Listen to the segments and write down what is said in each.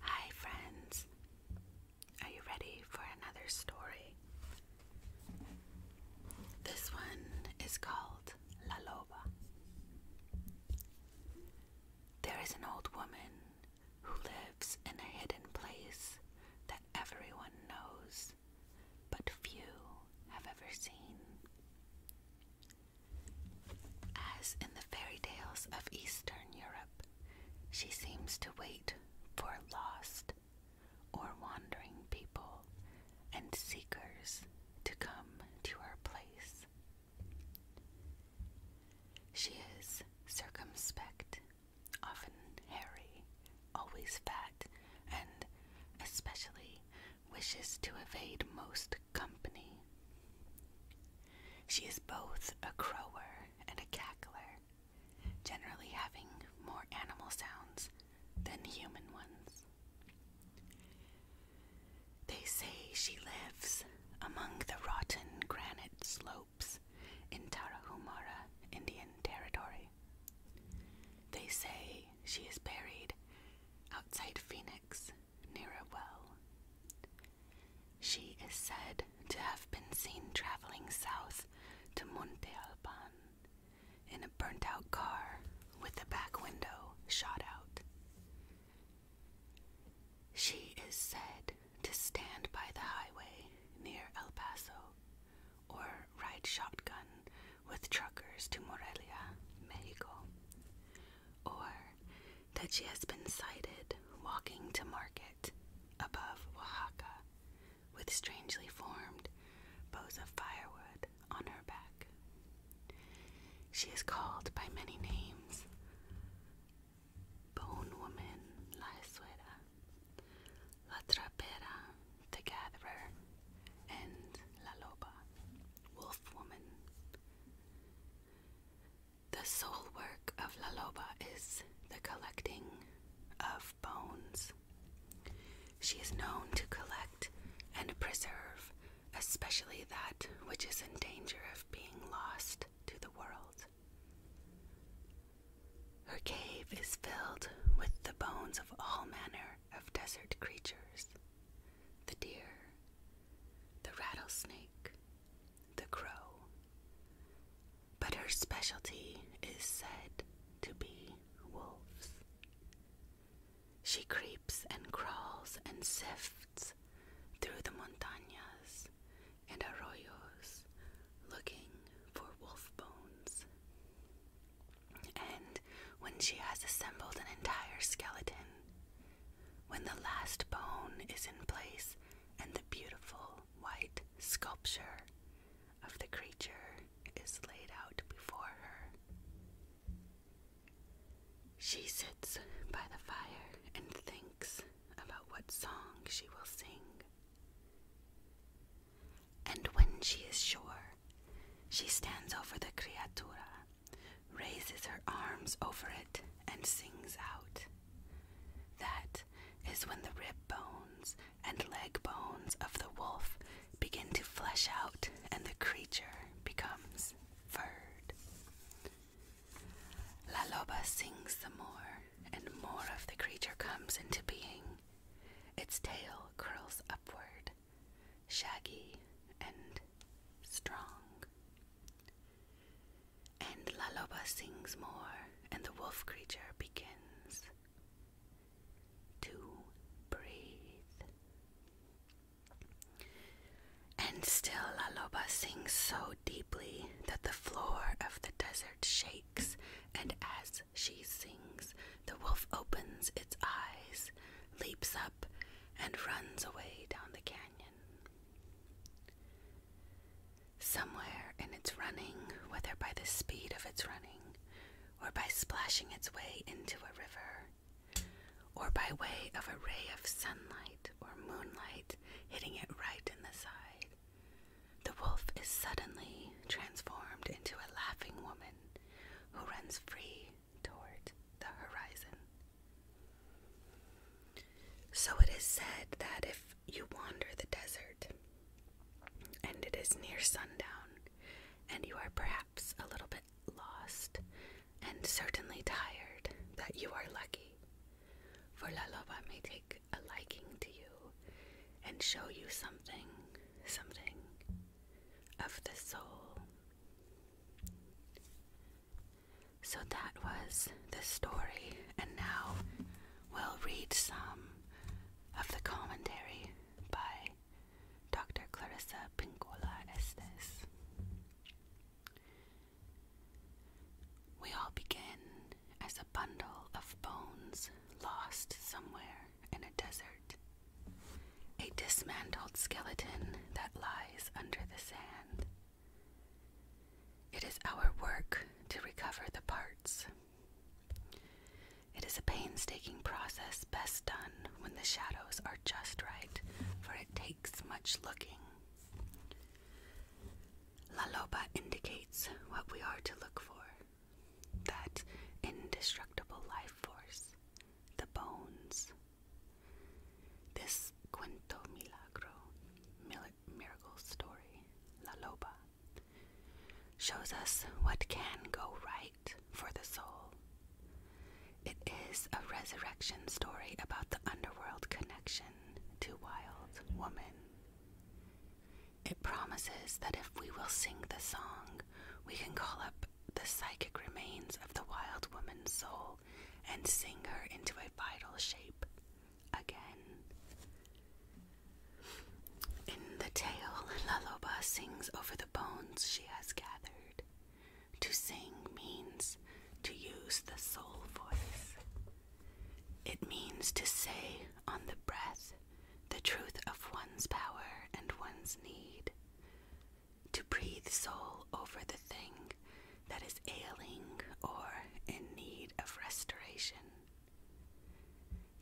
Hi, friends. Are you ready for another story? This one is called La Loba. There is an old woman who lives in a hidden place that everyone knows but few have ever seen. As in the fairy tales of Eastern Europe, she seems to wait for lost or wandering people and seekers to come to her place. She is circumspect, often hairy, always fat, and especially wishes to evade most company. She is both a crower and a cackler, generally having more animal sounds than human ones. They say she lives among the rotten granite slopes in Tarahumara Indian Territory. They say she is buried outside Phoenix near a well. She is said to have been seen traveling south to Monte Alban in a burnt out car with the back window shot out. She is said to stand by the highway near El Paso or ride shotgun with truckers to Morelia, Mexico, or that she has been sighted walking to market above Oaxaca with strangely formed bows of firewood on her back. She is called by many names Bone Woman La Suera, La Trapera, The Gatherer, and La Loba, Wolf Woman. The sole work of La Loba is the collecting of bones. She is known to collect and preserve, especially that which is in danger of being lost to the world. Her cave is filled with the bones of all manner of desert creatures the deer, the rattlesnake, the crow. But her specialty is said to be wolves. She creeps and crawls and sifts through the montañas and arroyos looking for wolf bones. And when she has assembled an entire skeleton, when the last bone is in place and the beautiful white sculpture of the creature is laid out before her, she sits by the fire and thinks about what song she will sing. And when she is sure, she stands over the criatura, raises her arms over it, and sings out. That is when the rib bones and leg bones of the wolf begin to flesh out and the creature becomes furred. La Loba sings the more and more of the creature comes into being. Its tail curls upward, shaggy and strong. And Laloba sings more, and the wolf creature begins to breathe. And still Laloba sings so deeply that the floor of the desert shakes, and as she sings, the wolf opens its eyes, leaps up, and runs away down the canyon. Somewhere in its running, whether by the speed of its running, or by splashing its way into a river, or by way of a ray of sunlight or moonlight hitting it right in the side, the wolf is suddenly transformed into a laughing woman who runs free toward the horizon. So it is said that if you wander the desert and it is near sundown and you are perhaps a little bit lost and certainly tired, that you are lucky, for La Loba may take a liking to you and show you something, something of the soul. So that was the story, and now we'll read some of the commentary by Dr. Clarissa Pincola Estes. We all begin as a bundle of bones lost somewhere in a desert, a dismantled skeleton that lies under the sand. It is our work to recover the parts. It is a painstaking process best done when the shadows are just right, for it takes much looking. La Loba indicates what we are to look for that indestructible life force, the bones. This Cuento Milagro, miracle story, La Loba, shows us what can go right for the soul. It is a resurrection story about the underworld connection to Wild Woman. It promises that if we will sing the song, we can call up the psychic remains of the wild woman's soul and sing her into a vital shape again. In the tale, Laloba sings over the bones she has gathered. To sing means to use the soul voice. It means to say on the breath the truth of one's power and one's need, to breathe soul over the thing that is ailing or in need of restoration.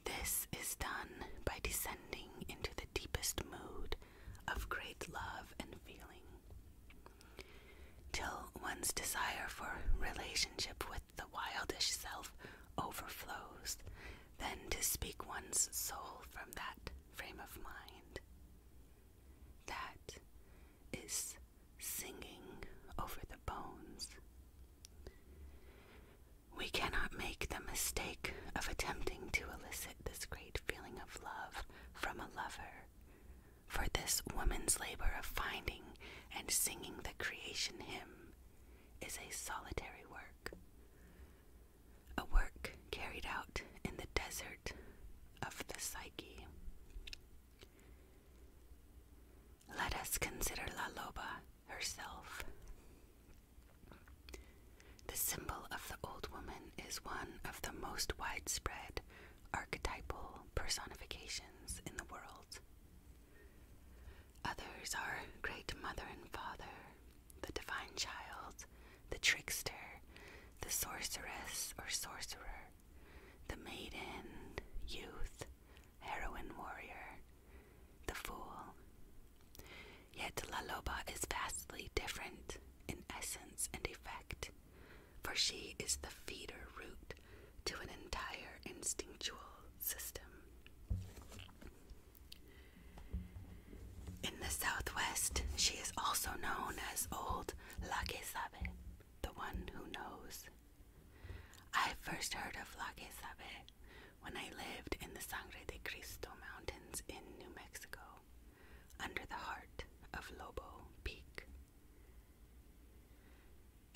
This is done by descending into the deepest mood of great love and feeling till one's desire for relationship with the wildish self overflows, then to speak one's soul from that frame of mind. That is singing over the bones. We cannot make the mistake of attempting to elicit this great feeling of love from a lover for this woman's labor of finding and singing the creation hymn is a solitary work, a work carried out in the desert of the psyche. Let us consider La Loba herself. The symbol of the old woman is one of the most widespread archetypal personifications in the world. Others are Great Mother and Father, the Divine Child, the Trickster, the Sorceress or Sorcerer, the Maiden, Youth, Heroine Warrior, the Fool. Yet Laloba is vastly different in essence and effect for she is the feeder root to an entire instinctual system. In the southwest, she is also known as Old La Que Sabe, the one who knows. I first heard of La Que Sabe when I lived in the Sangre de Cristo mountains in New Mexico under the heart of Lobo Peak.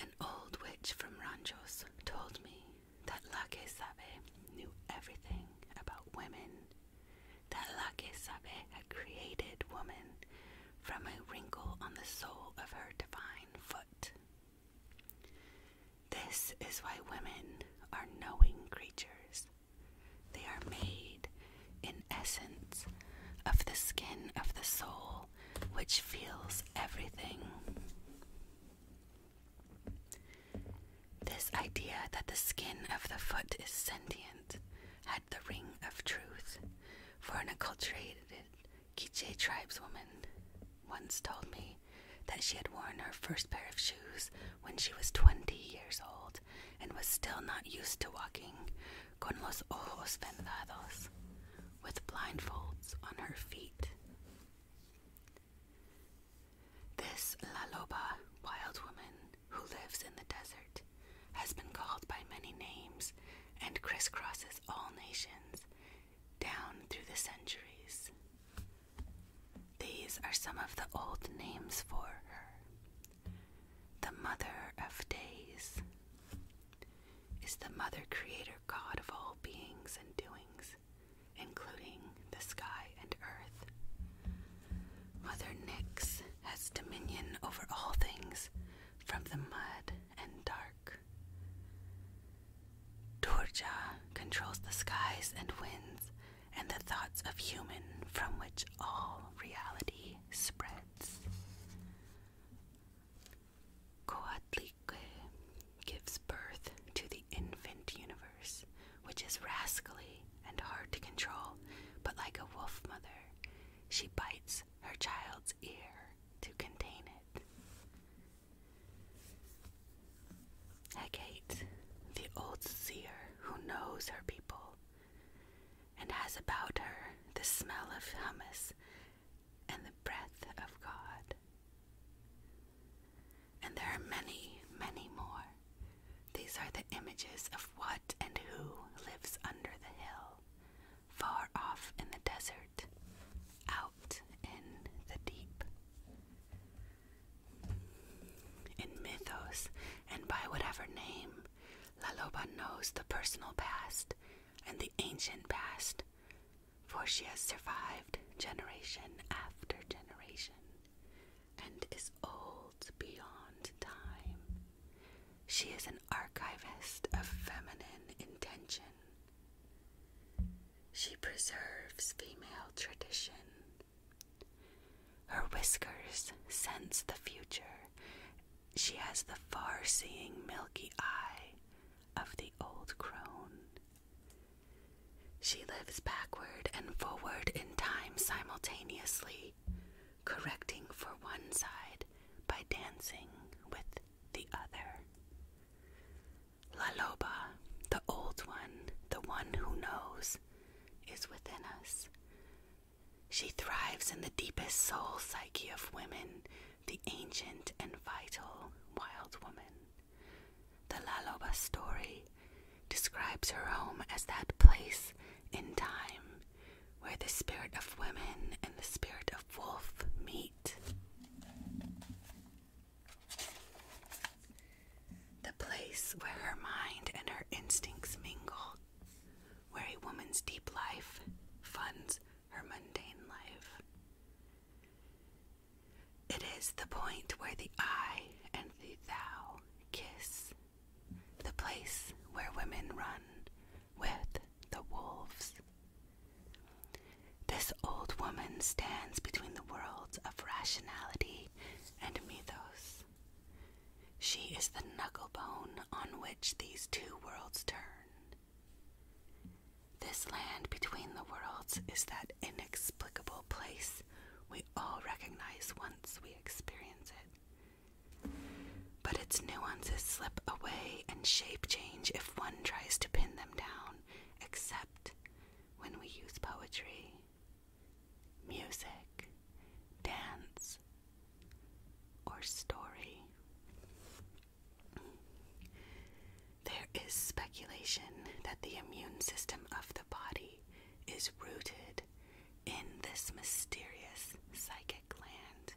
An old witch from Ranchos told me that La que Sabe knew everything about women, that La que Sabe had created woman from a wrinkle on the sole of her divine foot. This is why women are knowing creatures. They are made, in essence, of the skin of the soul which feels everything. This idea that the skin of the foot is sentient had the ring of truth, for an acculturated Quiche tribeswoman once told me that she had worn her first pair of shoes when she was 20 years old and was still not used to walking, con los ojos vendados, with blindfolds on her feet. This La Loba, wild woman who lives in the desert, has been called by many names and crisscrosses all nations down through the centuries. These are some of the old names for her. The Mother of Days is the Mother Creator God of all beings and doings, including the sky and earth. Mother Nyx has dominion over all things from the mud and dark. Durja controls the skies and winds and the thoughts of human from which all reality spreads. Coatlique gives birth to the infant universe, which is rascally and hard to control, but like a wolf mother, she bites her child's ear to contain it. Hecate, the old seer who knows her people and has about her the smell of hummus and the breath of God. And there are many, many more. These are the images of what and who lives under the hill, far off in the desert, out in the deep. In mythos, and by whatever name, Laloba knows the personal past and the ancient past, for she has survived generation after generation and is old beyond time. She is an archivist of feminine intention. She preserves female tradition her whiskers sense the future. She has the far seeing milky eye of the old crone. She lives backward and forward in time simultaneously, correcting for one side by dancing with the other. La Loba, the old one, the one who knows, is within us. She thrives in the deepest soul psyche of women, the ancient and vital wild woman. The La Loba story describes her home as that place in time where the spirit of women and the spirit of wolf meet. The place where her mind and her instincts mingle, where a woman's deep life funds her mundane life. It is the point where the I and the thou kiss, the place where women run with the wolves. This old woman stands between the worlds of rationality and mythos. She is the knucklebone on which these two worlds turn. This land between the worlds is that inexplicable place we all recognize once we experience it. But its nuances slip away and shape change if one tries to pin them down, except when we use poetry, music, dance, or story. There is speculation that the immune system of the body is rooted in this mysterious psychic land,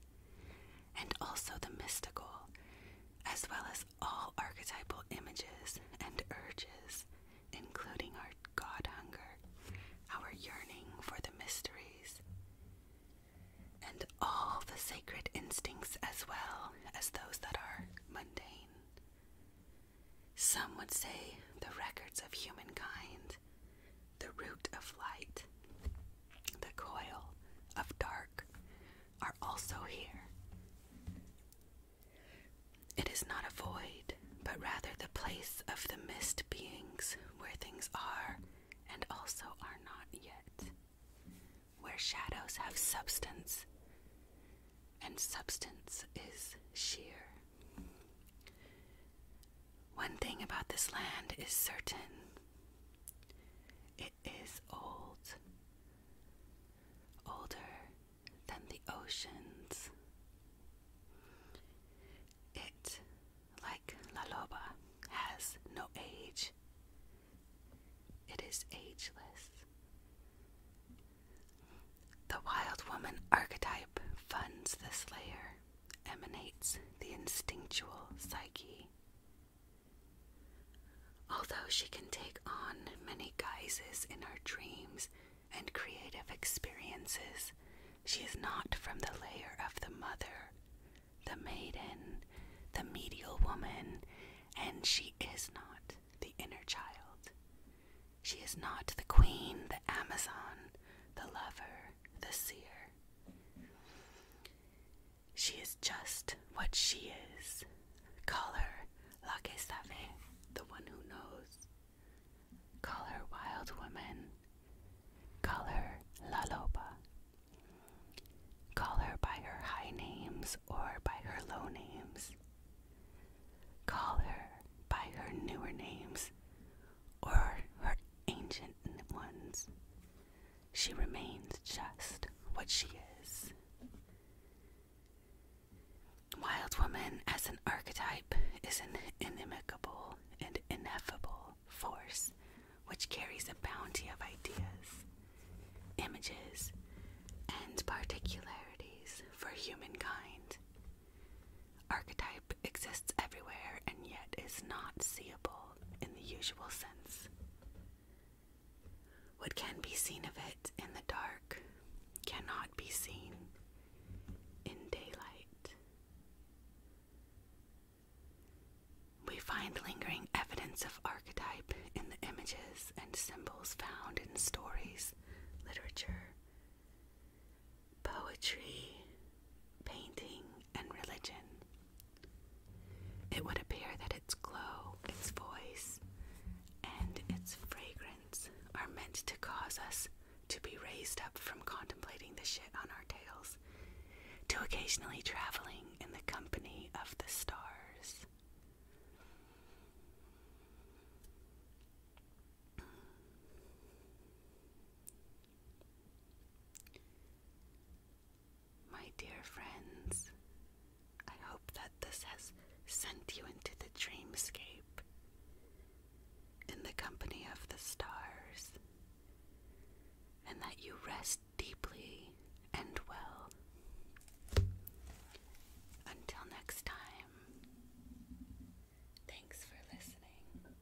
and also the mystical, as well as all archetypal images and urges, including our God hunger, our yearning for the mysteries, and all the sacred instincts as well as those that are mundane. Some would say the records of humankind, the root of light, the coil of dark, are also here, it is not a void, but rather the place of the mist beings where things are and also are not yet, where shadows have substance and substance is sheer. One thing about this land is certain is old, older than the oceans. It, like La Loba, has no age. It is ageless. The wild woman archetype funds this layer, emanates the instinctual psyche, Although she can take on many guises in her dreams and creative experiences, she is not from the layer of the mother, the maiden, the medial woman, and she is not the inner child. She is not the queen, the Amazon, the lover, the seer. She is just what she is. Call her La Que Sabe, the one who knows. Call her Wild Woman. Call her La Loba. Call her by her high names or by her low names. Call her by her newer names or her ancient ones she remains just what she is. Wild Woman as an archetype is an inimicable and ineffable force which carries a bounty of ideas, images, and particularities for humankind. Archetype exists everywhere and yet is not seeable in the usual sense. What can be seen of it in the dark cannot be seen in daylight. We find lingering evidence of archetype in the images and symbols found in stories, literature, poetry, painting, and religion. It would appear that its glow, its voice, and its fragrance are meant to cause us to be raised up from contemplating the shit on our tails to occasionally traveling in the company of the stars. My dear friends, I hope that this has sent you into the dreamscape, in the company of the stars, and that you rest deeply and well. Until next time, thanks for listening.